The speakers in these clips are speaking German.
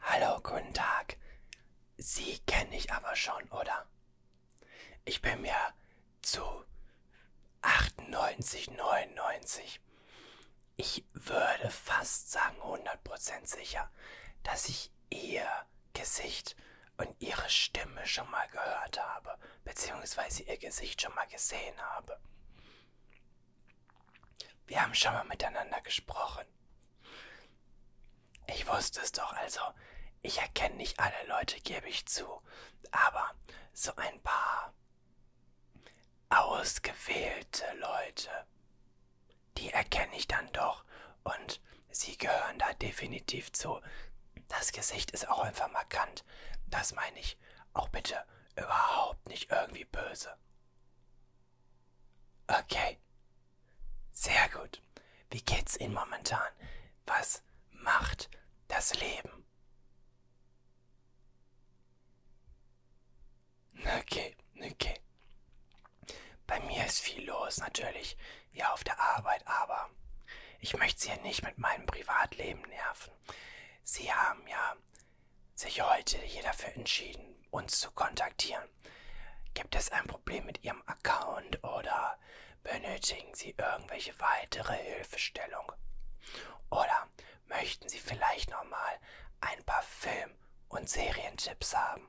Hallo, guten Tag. Sie kenne ich aber schon, oder? Ich bin mir zu 98, 99. Ich würde fast sagen 100% sicher, dass ich ihr Gesicht und ihre Stimme schon mal gehört habe, beziehungsweise ihr Gesicht schon mal gesehen habe. Wir haben schon mal miteinander gesprochen. Ich wusste es doch also. Ich erkenne nicht alle Leute, gebe ich zu. Aber so ein paar ausgewählte Leute, die erkenne ich dann doch. Und sie gehören da definitiv zu. Das Gesicht ist auch einfach markant. Das meine ich auch bitte überhaupt nicht irgendwie böse. Okay. Sehr gut. Wie geht's Ihnen momentan? Was macht das Leben? Okay, okay. Bei mir ist viel los, natürlich, ja, auf der Arbeit, aber ich möchte Sie ja nicht mit meinem Privatleben nerven. Sie haben ja sich heute hier dafür entschieden, uns zu kontaktieren. Gibt es ein Problem mit Ihrem Account oder benötigen Sie irgendwelche weitere Hilfestellung? Oder möchten Sie vielleicht nochmal ein paar Film- und Serientipps haben?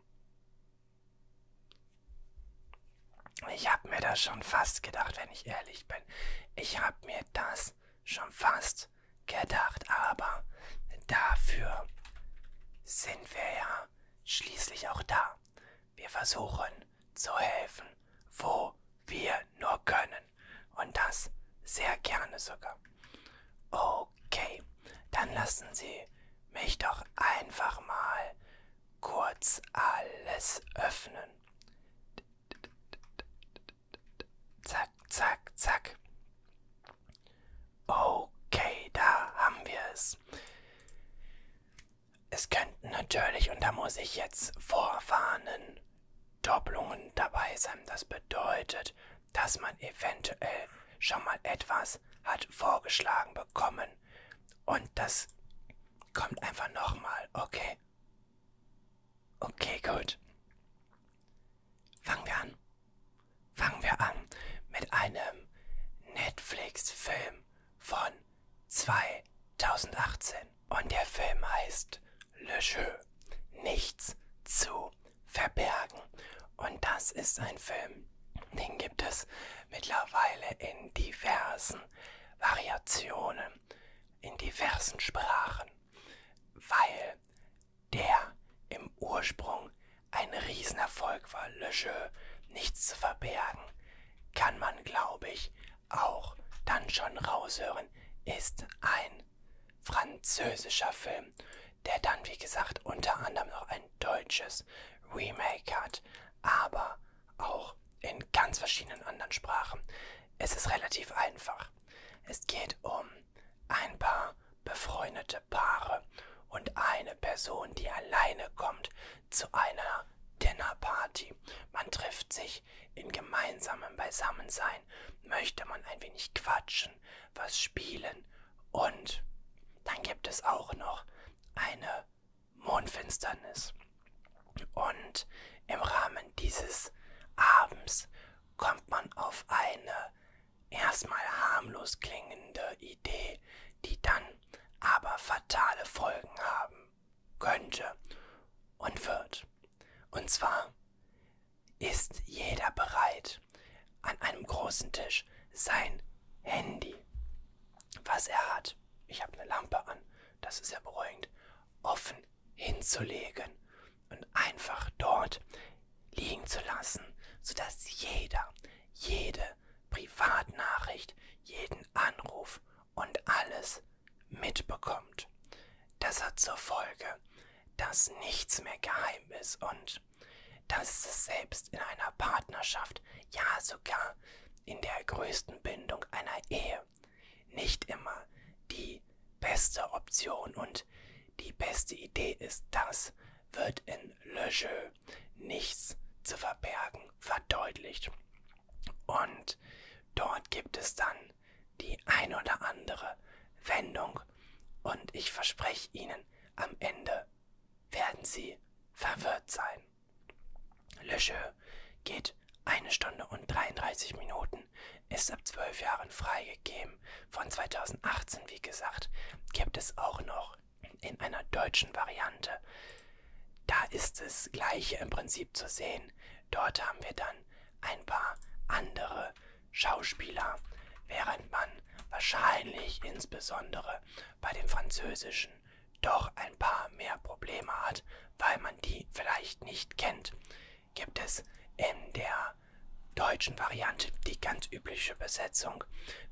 Ich habe mir das schon fast gedacht, wenn ich ehrlich bin. Ich habe mir das schon fast gedacht, aber Dafür sind wir ja schließlich auch da. Wir versuchen zu helfen, wo wir nur können. Und das sehr gerne sogar. Okay, dann lassen Sie mich doch einfach mal kurz alles öffnen. Zack, zack, zack. Okay, da haben wir es. Es könnten natürlich, und da muss ich jetzt vorwarnen, Doppelungen dabei sein. Das bedeutet, dass man eventuell schon mal etwas hat vorgeschlagen bekommen. Und das kommt einfach nochmal, okay? Okay, gut. Fangen wir an. Fangen wir an mit einem Netflix-Film von 2018. Und der Film heißt Le Jeu. Nichts zu verbergen. Und das ist ein Film, den gibt es mittlerweile in diversen Variationen, in diversen Sprachen, weil der im Ursprung ein Riesenerfolg war, Le Jeu, nichts zu verbergen, kann man, glaube ich, auch dann schon raushören, ist ein französischer Film, der dann, wie gesagt, unter anderem noch ein deutsches Remake hat, aber auch in ganz verschiedenen anderen Sprachen. Es ist relativ einfach. Es geht um ein paar befreundete Paare und eine Person, die alleine kommt zu einer Dinnerparty. Man trifft sich in gemeinsamem Beisammensein, möchte man ein wenig quatschen, was spielen und dann gibt es auch noch eine Mondfinsternis. Und im Rahmen dieses Abends kommt man auf eine erstmal harmlos klingende Idee, die dann aber fatale Folgen haben könnte und wird. Und zwar ist jeder bereit, an einem großen Tisch sein Handy, was er hat, ich habe eine Lampe an, das ist ja beruhigend, offen hinzulegen und einfach dort liegen zu lassen, sodass jeder, jede Privatnachricht, jeden Anruf und alles mitbekommt. Das hat zur Folge, dass nichts mehr geheim ist und dass es selbst in einer Partnerschaft, ja sogar in der größten Bindung einer Ehe, nicht immer die beste Option und die beste Idee ist. Das wird in Le Jeu nichts zu verbergen verdeutlicht. Und dort gibt es dann die ein oder andere Wendung. Und ich verspreche Ihnen, am Ende werden Sie verwirrt sein. Le Jeu geht eine Stunde und 33 Minuten, ist ab 12 Jahren freigegeben. Von 2018, wie gesagt, gibt es auch noch in einer deutschen Variante. Da ist das gleiche im Prinzip zu sehen. Dort haben wir dann ein paar andere Schauspieler, während man wahrscheinlich insbesondere bei dem französischen doch ein paar mehr Probleme hat, weil man die vielleicht nicht kennt. Gibt es in der deutschen Variante die ganz übliche Besetzung.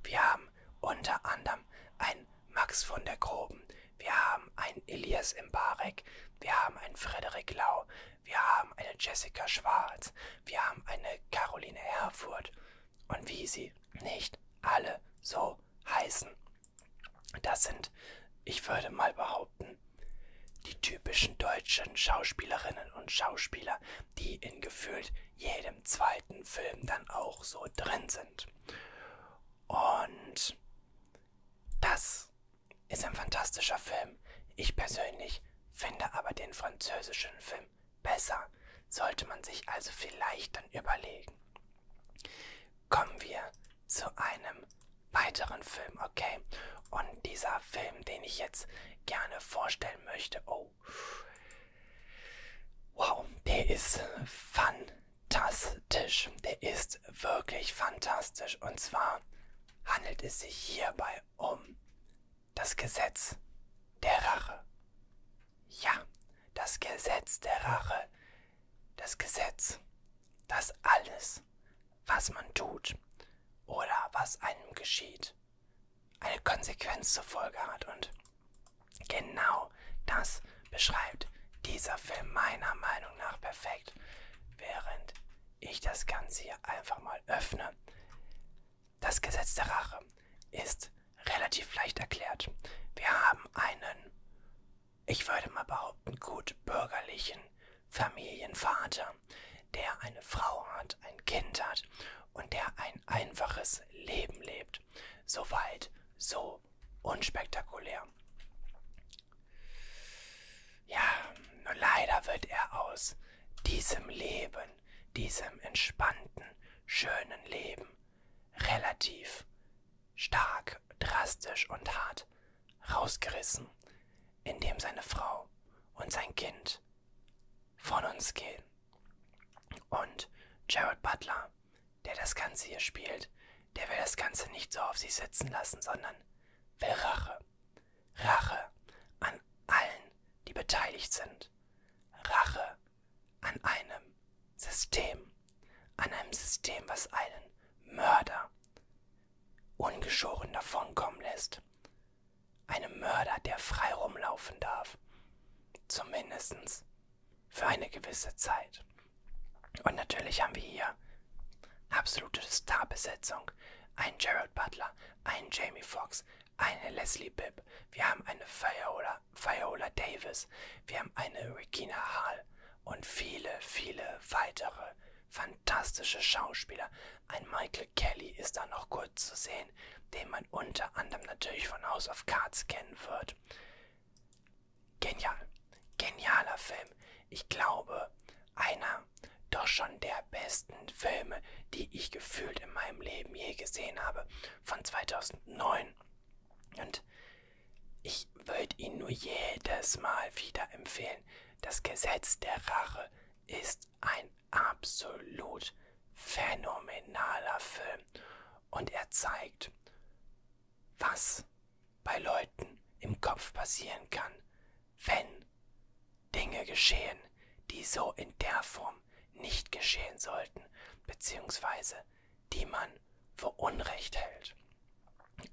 Wir haben unter anderem einen Max von der Groben, wir haben einen Elias Mbarek, wir haben einen Frederik Lau, wir haben eine Jessica Schwarz, wir haben eine Caroline Herfurth und wie sie nicht alle so heißen. Das sind, ich würde mal behaupten, die typischen deutschen Schauspielerinnen und Schauspieler, die in gefühlt jedem zweiten Film dann auch so drin sind. Und das ist ein fantastischer Film. Ich persönlich finde aber den französischen Film besser. Sollte man sich also vielleicht dann überlegen. Kommen wir zu einem weiteren Film, okay? Und dieser Film, den ich jetzt gerne vorstellen möchte, oh, Wow, der ist fantastisch. Der ist wirklich fantastisch. Und zwar handelt es sich hierbei um das Gesetz der Rache. Ja, das Gesetz der Rache. Das Gesetz, das alles, was man tut oder was einem geschieht, eine Konsequenz zur Folge hat. Und genau das beschreibt dieser Film meiner Meinung nach perfekt. Während ich das Ganze hier einfach mal öffne. Das Gesetz der Rache ist relativ leicht erklärt. Wir haben einen, ich würde mal behaupten, gut bürgerlichen Familienvater, der eine Frau hat, ein Kind hat und der ein ein einfaches Leben lebt. Soweit, so unspektakulär. Ja, nur leider wird er aus diesem Leben, diesem entspannten, schönen Leben, relativ stark, drastisch und hart rausgerissen, indem seine Frau und sein Kind von uns gehen. Und Jared Butler, der das Ganze hier spielt, der will das Ganze nicht so auf sich sitzen lassen, sondern will Rache. Rache an allen, die beteiligt sind. Rache an einem System. An einem System, was einen Mörder ungeschoren davonkommen lässt einem Mörder, der frei rumlaufen darf. Zumindest für eine gewisse Zeit. Und natürlich haben wir hier absolute Starbesetzung. Ein Gerald Butler, ein Jamie Foxx, eine Leslie Bibb, wir haben eine Viola, Viola Davis, wir haben eine Regina Hall und viele, viele weitere fantastische Schauspieler. Ein Michael Kelly ist da noch kurz zu sehen sehen, den man unter anderem natürlich von House of Cards kennen wird. Genial, genialer Film. Ich glaube, einer doch schon der besten Filme, die ich gefühlt in meinem Leben je gesehen habe, von 2009. Und ich würde ihn nur jedes Mal wieder empfehlen. Das Gesetz der Rache ist ein absolut phänomenaler Film. Und er zeigt, was bei Leuten im Kopf passieren kann, wenn Dinge geschehen, die so in der Form nicht geschehen sollten, beziehungsweise die man für Unrecht hält.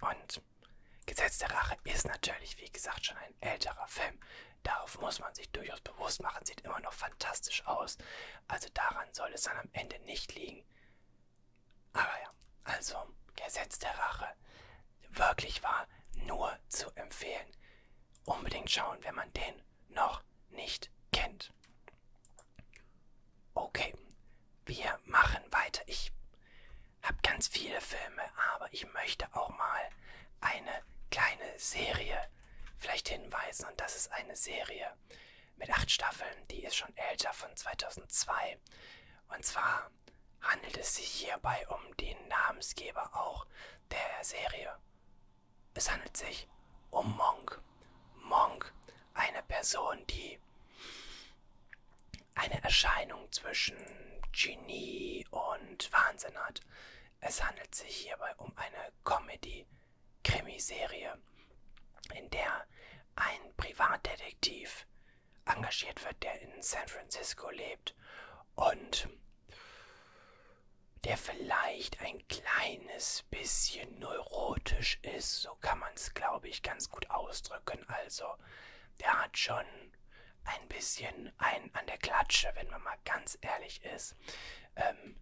Und Gesetz der Rache ist natürlich, wie gesagt, schon ein älterer Film. Darauf muss man sich durchaus bewusst machen, sieht immer noch fantastisch aus. Also daran soll es dann am Ende nicht liegen. Aber ja, also Gesetz der Rache. Wirklich war nur zu empfehlen. Unbedingt schauen, wenn man den noch nicht kennt. Okay, wir machen weiter. Ich habe ganz viele Filme, aber ich möchte auch mal eine kleine Serie vielleicht hinweisen, und das ist eine Serie mit acht Staffeln, die ist schon älter, von 2002. Und zwar handelt es sich hierbei um den Namensgeber auch der Serie. Es handelt sich um Monk. Monk, eine Person, die eine Erscheinung zwischen Genie und Wahnsinn hat. Es handelt sich hierbei um eine Comedy-Serie. Krimiserie, in der ein Privatdetektiv engagiert wird, der in San Francisco lebt und der vielleicht ein kleines bisschen neurotisch ist, so kann man es, glaube ich, ganz gut ausdrücken. Also, der hat schon ein bisschen einen an der Klatsche, wenn man mal ganz ehrlich ist. Ähm,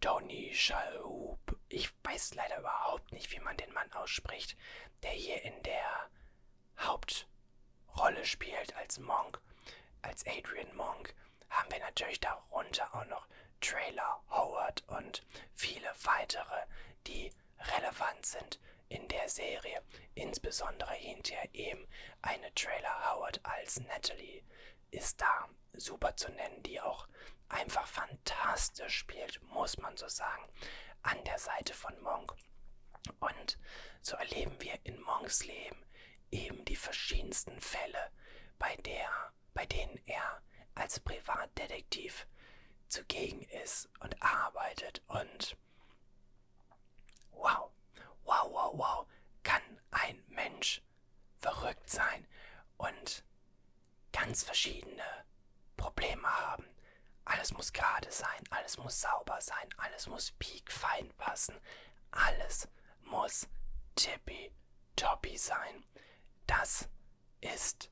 Tony Shalhoub, ich weiß leider überhaupt nicht, wie man den Mann ausspricht, der hier in der Hauptrolle spielt als Monk, als Adrian Monk, haben wir natürlich darunter auch noch Trailer Howard und viele weitere, die relevant sind in der Serie, insbesondere hinterher eben eine Trailer Howard als Natalie, ist da super zu nennen, die auch einfach fantastisch spielt, muss man so sagen, an der Seite von Monk. Und so erleben wir in Monks Leben eben die verschiedensten Fälle, bei, der, bei denen er als Privatdetektiv zugegen ist und arbeitet und wow, wow, wow, wow, kann ein Mensch verrückt sein und ganz verschiedene Probleme haben. Alles muss gerade sein, alles muss sauber sein, alles muss piekfein passen, alles muss tippitoppi sein. Das ist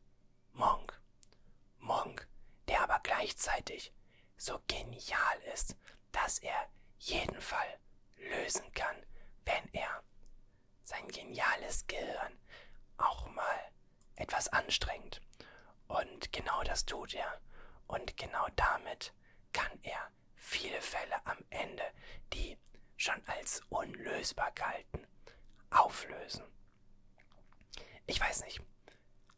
Monk. Monk, der aber gleichzeitig so genial ist, dass er jeden Fall lösen kann, wenn er sein geniales Gehirn auch mal etwas anstrengt. Und genau das tut er. Und genau damit kann er viele Fälle am Ende, die schon als unlösbar galten, auflösen. Ich weiß nicht,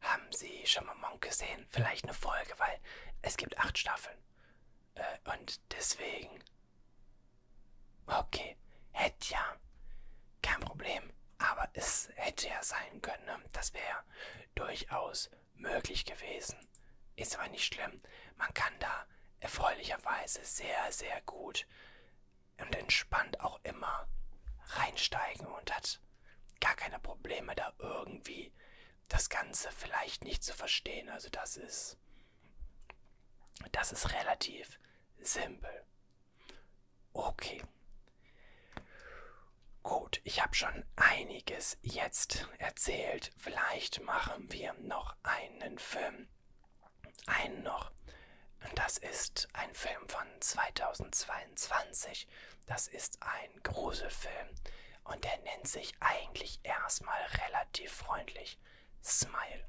haben Sie schon mal Monk gesehen? Vielleicht eine Folge, weil es gibt acht Staffeln. Äh, und deswegen Okay, hätte ja. Kein Problem. Aber es hätte ja sein können. Ne? Das wäre ja durchaus möglich gewesen. Ist aber nicht schlimm. Man kann da erfreulicherweise sehr, sehr gut und entspannt auch immer reinsteigen und hat gar keine Probleme da irgendwie das Ganze vielleicht nicht zu verstehen. Also das ist das ist relativ simpel. Okay. Gut, ich habe schon einiges jetzt erzählt. Vielleicht machen wir noch einen Film. Einen noch. Das ist ein Film von 2022. Das ist ein Gruselfilm. Und der nennt sich eigentlich erstmal relativ freundlich Smile.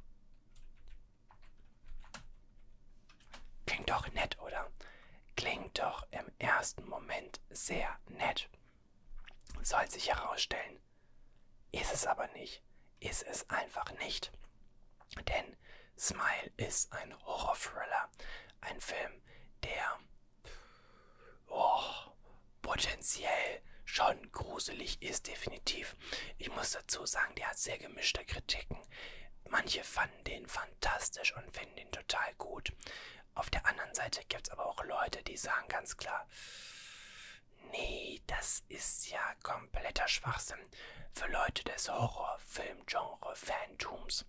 Klingt doch nett, oder? Klingt doch im ersten Moment sehr nett. Soll sich herausstellen. Ist es aber nicht. Ist es einfach nicht. Denn Smile ist ein Horror-Thriller. Ein Film, der oh, potenziell schon gruselig ist, definitiv. Ich muss dazu sagen, der hat sehr gemischte Kritiken. Manche fanden den fantastisch und finden den total gut. Auf der anderen Seite gibt es aber auch Leute, die sagen ganz klar, nee, das ist ja kompletter Schwachsinn für Leute des Horrorfilmgenre Phantums.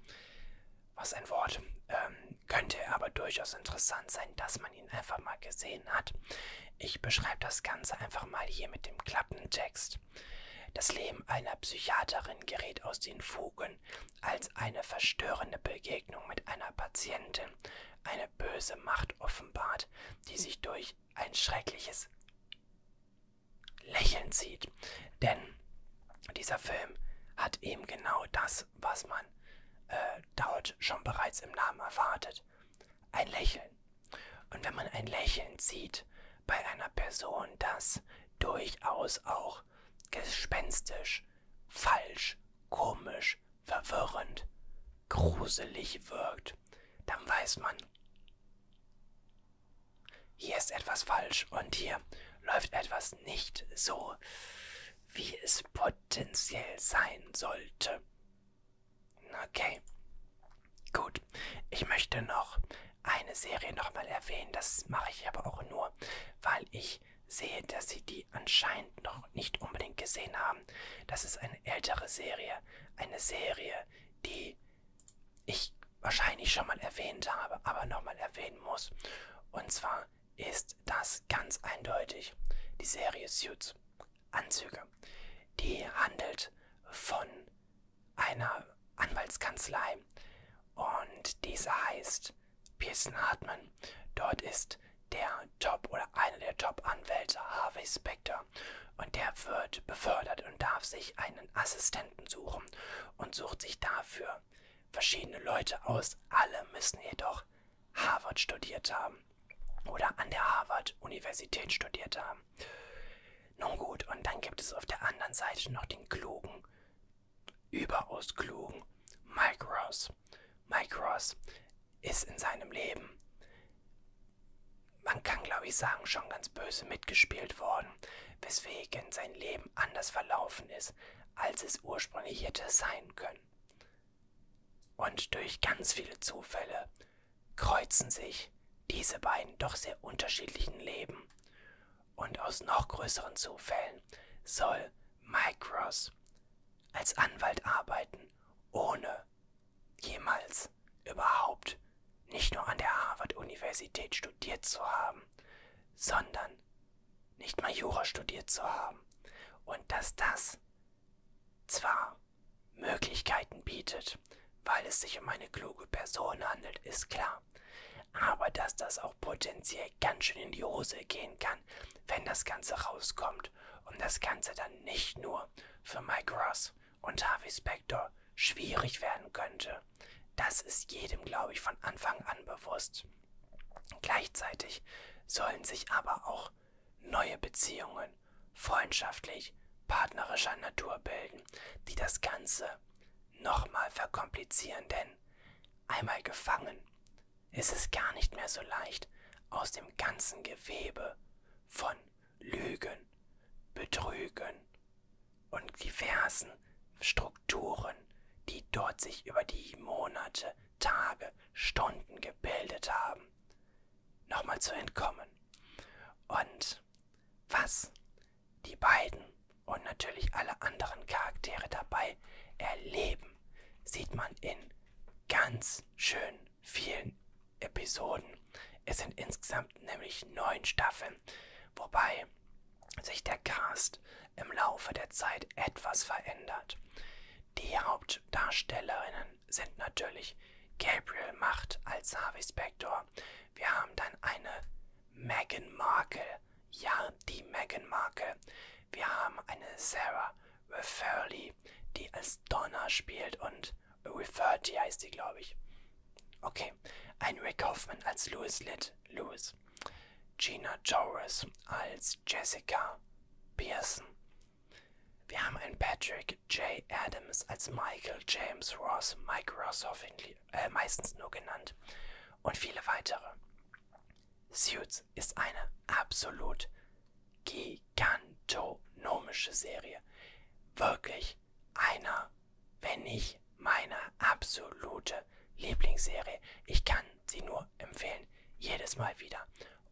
Was ein Wort. Ähm, könnte aber durchaus interessant sein, das man ihn einfach mal gesehen hat. Ich beschreibe das Ganze einfach mal hier mit dem Klappentext. Das Leben einer Psychiaterin gerät aus den Fugen, als eine verstörende Begegnung mit einer Patientin eine böse Macht offenbart, die sich durch ein schreckliches Lächeln zieht. Denn dieser Film hat eben genau das, was man äh, dort schon bereits im Namen erwartet ein Lächeln. Und wenn man ein Lächeln sieht bei einer Person, das durchaus auch gespenstisch, falsch, komisch, verwirrend, gruselig wirkt, dann weiß man, hier ist etwas falsch und hier läuft etwas nicht so, wie es potenziell sein sollte. Okay. Gut. Ich möchte noch eine Serie nochmal erwähnen. Das mache ich aber auch nur, weil ich sehe, dass Sie die anscheinend noch nicht unbedingt gesehen haben. Das ist eine ältere Serie. Eine Serie, die ich wahrscheinlich schon mal erwähnt habe, aber nochmal erwähnen muss. Und zwar ist das ganz eindeutig die Serie Suits. Anzüge. Die handelt von einer Anwaltskanzlei und diese heißt Pearson Hartman. Dort ist der Top oder einer der Top-Anwälte Harvey Specter und der wird befördert und darf sich einen Assistenten suchen und sucht sich dafür verschiedene Leute aus. Alle müssen jedoch Harvard studiert haben oder an der Harvard-Universität studiert haben. Nun gut, und dann gibt es auf der anderen Seite noch den klugen, überaus klugen Mike Ross. Mike Ross ist in seinem Leben, man kann glaube ich sagen, schon ganz böse mitgespielt worden, weswegen sein Leben anders verlaufen ist, als es ursprünglich hätte sein können. Und durch ganz viele Zufälle kreuzen sich diese beiden doch sehr unterschiedlichen Leben. Und aus noch größeren Zufällen soll Mike Ross als Anwalt arbeiten, ohne jemals überhaupt nicht nur an der Harvard-Universität studiert zu haben, sondern nicht mal Jura studiert zu haben. Und dass das zwar Möglichkeiten bietet, weil es sich um eine kluge Person handelt, ist klar. Aber dass das auch potenziell ganz schön in die Hose gehen kann, wenn das Ganze rauskommt und das Ganze dann nicht nur für Mike Ross und Harvey Spector schwierig werden könnte, das ist jedem, glaube ich, von Anfang an bewusst. Gleichzeitig sollen sich aber auch auch neue Beziehungen freundschaftlich, partnerischer Natur bilden, die das Ganze nochmal verkomplizieren, denn einmal gefangen ist es gar nicht mehr so leicht, aus dem ganzen Gewebe von Lügen, Betrügen und diversen Strukturen, die dort sich über die Monate, Tage, Stunden gebildet haben, nochmal zu entkommen. Und was die beiden und natürlich alle anderen Charaktere dabei erleben, sieht man in ganz schön vielen Episoden. Es sind insgesamt nämlich neun Staffeln, wobei sich der Cast im Laufe der Zeit etwas verändert. Die Hauptdarstellerinnen sind natürlich Gabriel Macht als Harvey Spector. Wir haben dann eine Meghan Markle. Ja, die Meghan Markle. Wir haben eine Sarah Referley, die als Donna spielt und Referty heißt sie, glaube ich. Okay, ein Rick Hoffman als Louis Litt, Lewis. Gina Torres als Jessica Pearson. Wir haben einen Patrick Richard J. Adams als Michael James Ross, Mike Ross hoffentlich, äh, meistens nur genannt, und viele weitere. Suits ist eine absolut gigantonomische Serie. Wirklich einer, wenn nicht meine absolute Lieblingsserie. Ich kann sie nur empfehlen. Jedes Mal wieder.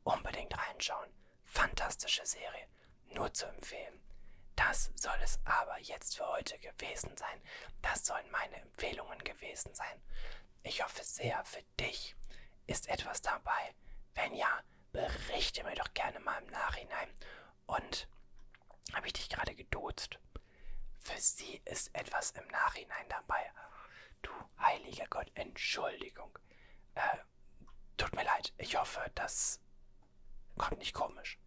Unbedingt reinschauen. Fantastische Serie, nur zu empfehlen. Das soll es aber jetzt für heute gewesen sein. Das sollen meine Empfehlungen gewesen sein. Ich hoffe sehr, für dich ist etwas dabei. Wenn ja, berichte mir doch gerne mal im Nachhinein. Und habe ich dich gerade geduzt? Für sie ist etwas im Nachhinein dabei. Du heiliger Gott, Entschuldigung. Äh, tut mir leid. Ich hoffe, das kommt nicht komisch.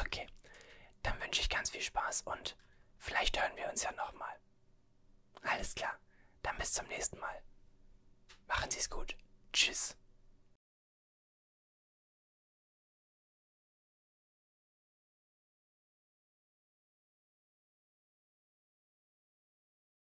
Okay, dann wünsche ich ganz viel Spaß und vielleicht hören wir uns ja nochmal. Alles klar, dann bis zum nächsten Mal. Machen Sie es gut. Tschüss.